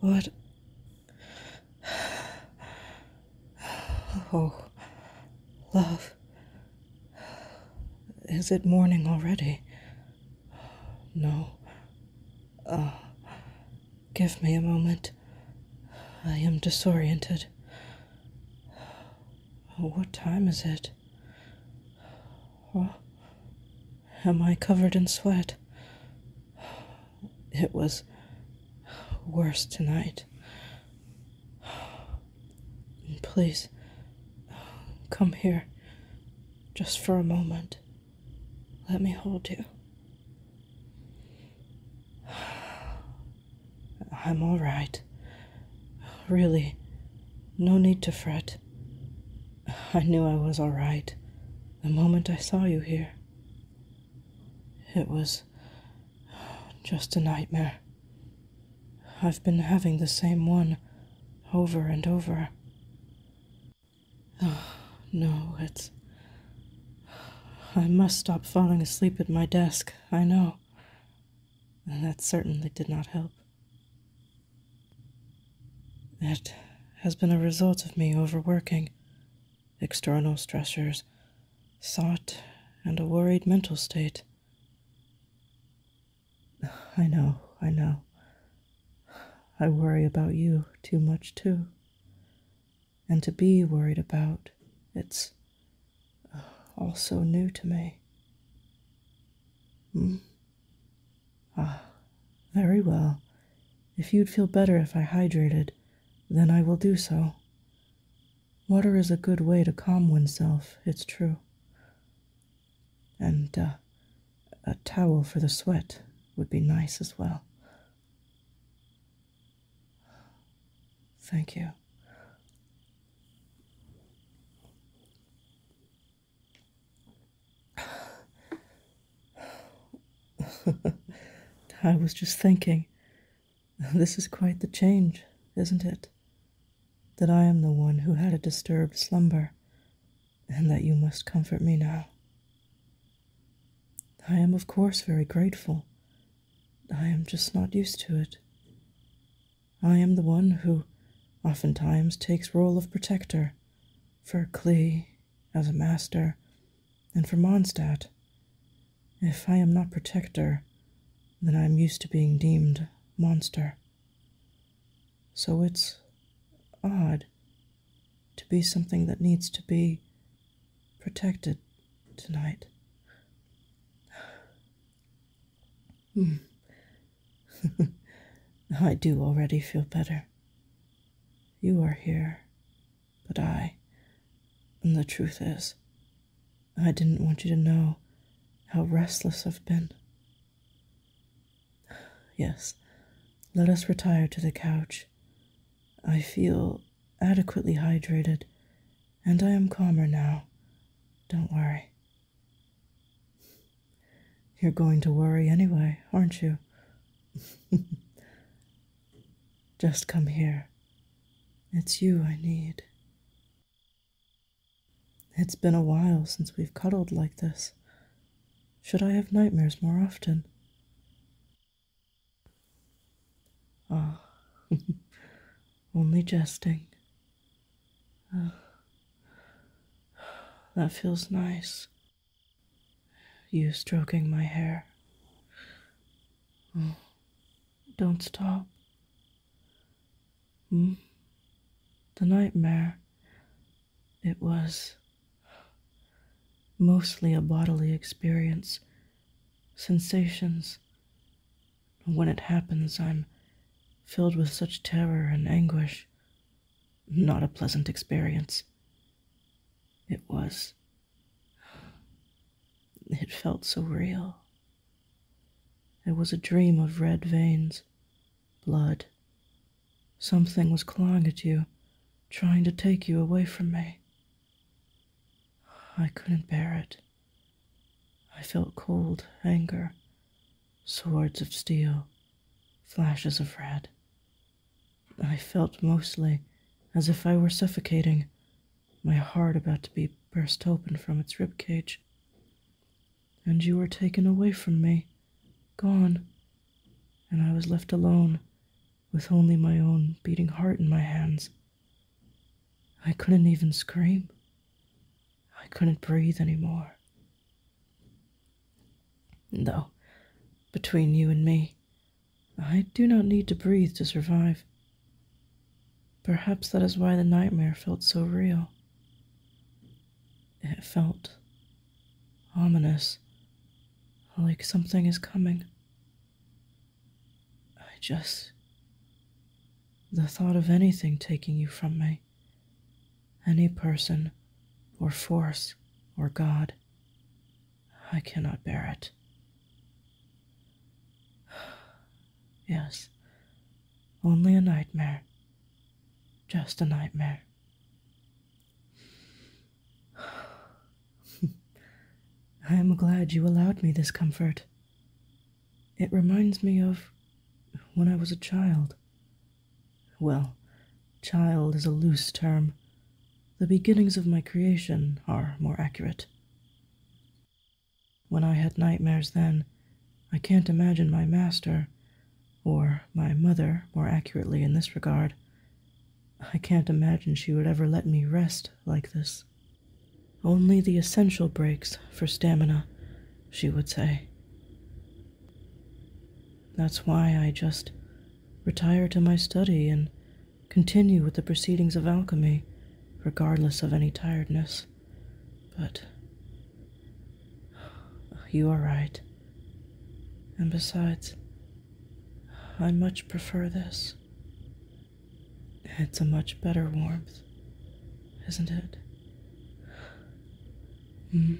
What? Oh, love. Is it morning already? No. Uh, Give me a moment. I am disoriented. What time is it? Oh, am I covered in sweat? It was worse tonight. Please, come here just for a moment. Let me hold you. I'm all right. Really, no need to fret. I knew I was all right the moment I saw you here. It was just a nightmare. I've been having the same one over and over. Oh, no, it's. I must stop falling asleep at my desk, I know. And that certainly did not help. It has been a result of me overworking, external stressors, thought, and a worried mental state. I know, I know. I worry about you too much, too and to be worried about. It's uh, all so new to me. Mm. Ah, very well. If you'd feel better if I hydrated, then I will do so. Water is a good way to calm oneself, it's true. And uh, a towel for the sweat would be nice as well. Thank you. I was just thinking, this is quite the change, isn't it? That I am the one who had a disturbed slumber, and that you must comfort me now. I am, of course, very grateful. I am just not used to it. I am the one who oftentimes takes role of protector for Clee as a master and for Mondstadt. If I am not protector, then I am used to being deemed monster. So it's odd to be something that needs to be protected tonight. Hmm. I do already feel better. You are here, but I. And the truth is, I didn't want you to know how restless I've been. Yes, let us retire to the couch. I feel adequately hydrated, and I am calmer now. Don't worry. You're going to worry anyway, aren't you? Just come here. It's you I need. It's been a while since we've cuddled like this. Should I have nightmares more often? Ah, only jesting. Ah, that feels nice. You stroking my hair. Oh, don't stop. Hmm? The nightmare. It was mostly a bodily experience, sensations. When it happens, I'm filled with such terror and anguish. Not a pleasant experience. It was. It felt so real. It was a dream of red veins, blood. Something was clawing at you, trying to take you away from me. I couldn't bear it. I felt cold anger, swords of steel, flashes of red. I felt mostly as if I were suffocating, my heart about to be burst open from its rib cage and you were taken away from me, gone, and I was left alone with only my own beating heart in my hands. I couldn't even scream. I couldn't breathe anymore. Though, between you and me, I do not need to breathe to survive. Perhaps that is why the nightmare felt so real. It felt Ominous. Like something is coming. I just. The thought of anything taking you from me, any person, or force, or God, I cannot bear it. Yes, only a nightmare. Just a nightmare. I am glad you allowed me this comfort. It reminds me of when I was a child. Well, child is a loose term. The beginnings of my creation are more accurate. When I had nightmares then, I can't imagine my master or my mother, more accurately in this regard. I can't imagine she would ever let me rest like this. Only the essential breaks for stamina, she would say. That's why I just retire to my study and continue with the proceedings of alchemy, regardless of any tiredness. But you are right. And besides, I much prefer this. It's a much better warmth, isn't it? Mm.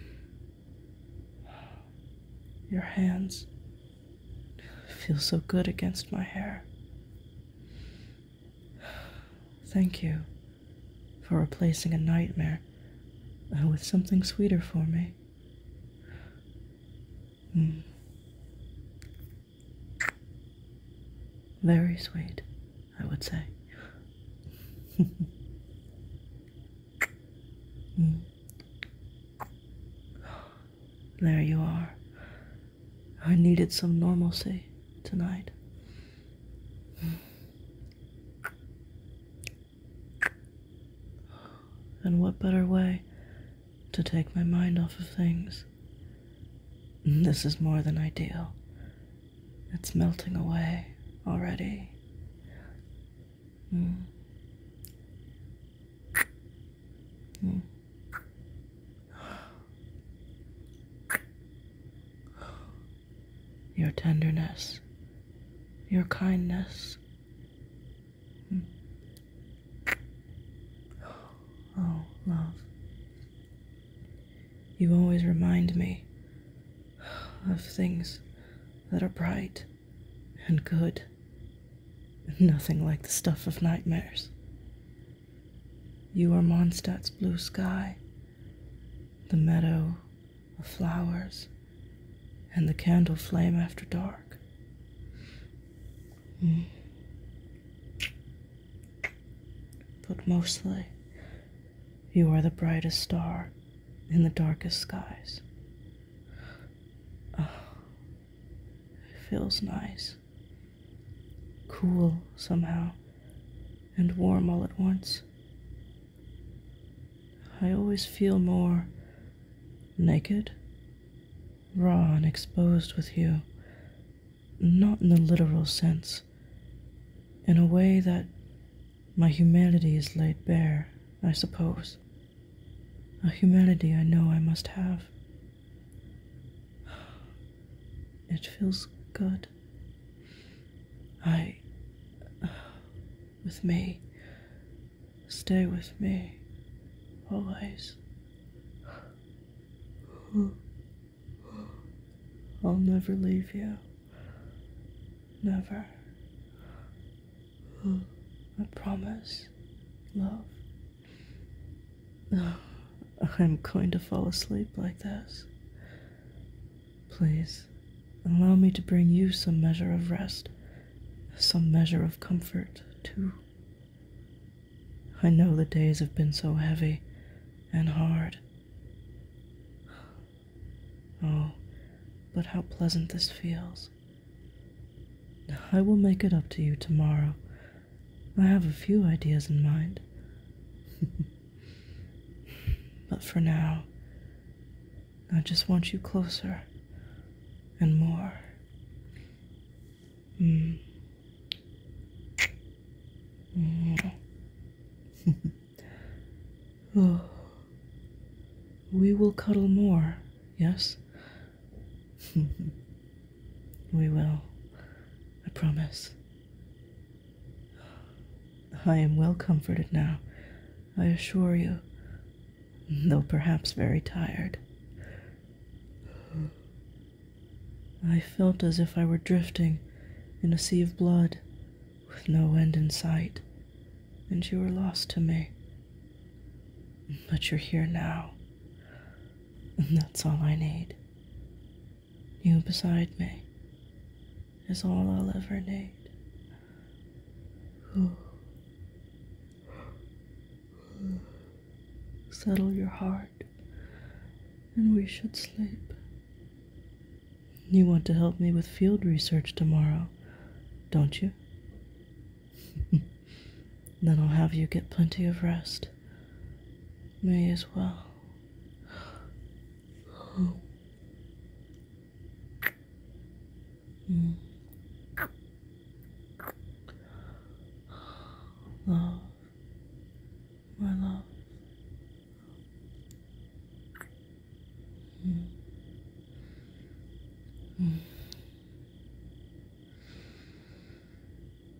Your hands feel so good against my hair. Thank you for replacing a nightmare uh, with something sweeter for me. Hmm. Very sweet, I would say. Hmm. There you are. I needed some normalcy tonight. Hmm. And what better way to take my mind off of things? This is more than ideal. It's melting away already. Mm. Mm your tenderness, your kindness. Hmm. Oh, love. You always remind me of things that are bright and good, nothing like the stuff of nightmares. You are Mondstadt's blue sky the meadow of flowers, and the candle flame after dark. Mm. But mostly, you are the brightest star in the darkest skies. Ah, it feels nice cool somehow and warm all at once. I always feel more naked, raw, and exposed with you, not in the literal sense, in a way that my humanity is laid bare, I suppose. A humanity I know I must have. It feels good. I. with me. Stay with me. Always. I'll never leave you. Never. I promise. Love. I'm going to fall asleep like this. Please, allow me to bring you some measure of rest, some measure of comfort, too. I know the days have been so heavy and hard. Oh, but how pleasant this feels. I will make it up to you tomorrow I have a few ideas in mind. but for now, I just want you closer and more. Mm. Mm. Oh. We will cuddle more, yes? We will. I promise. I am well comforted now, I assure you, though perhaps very tired. I felt as if I were drifting in a sea of blood with no end in sight, and you were lost to me. But you're here now and that's all I need. You beside me is all I'll ever need. Settle your heart, and we should sleep. You want to help me with field research tomorrow, don't you? Then I'll have you get plenty of rest. May as well. Mm. Love, my love. Mm. Mm.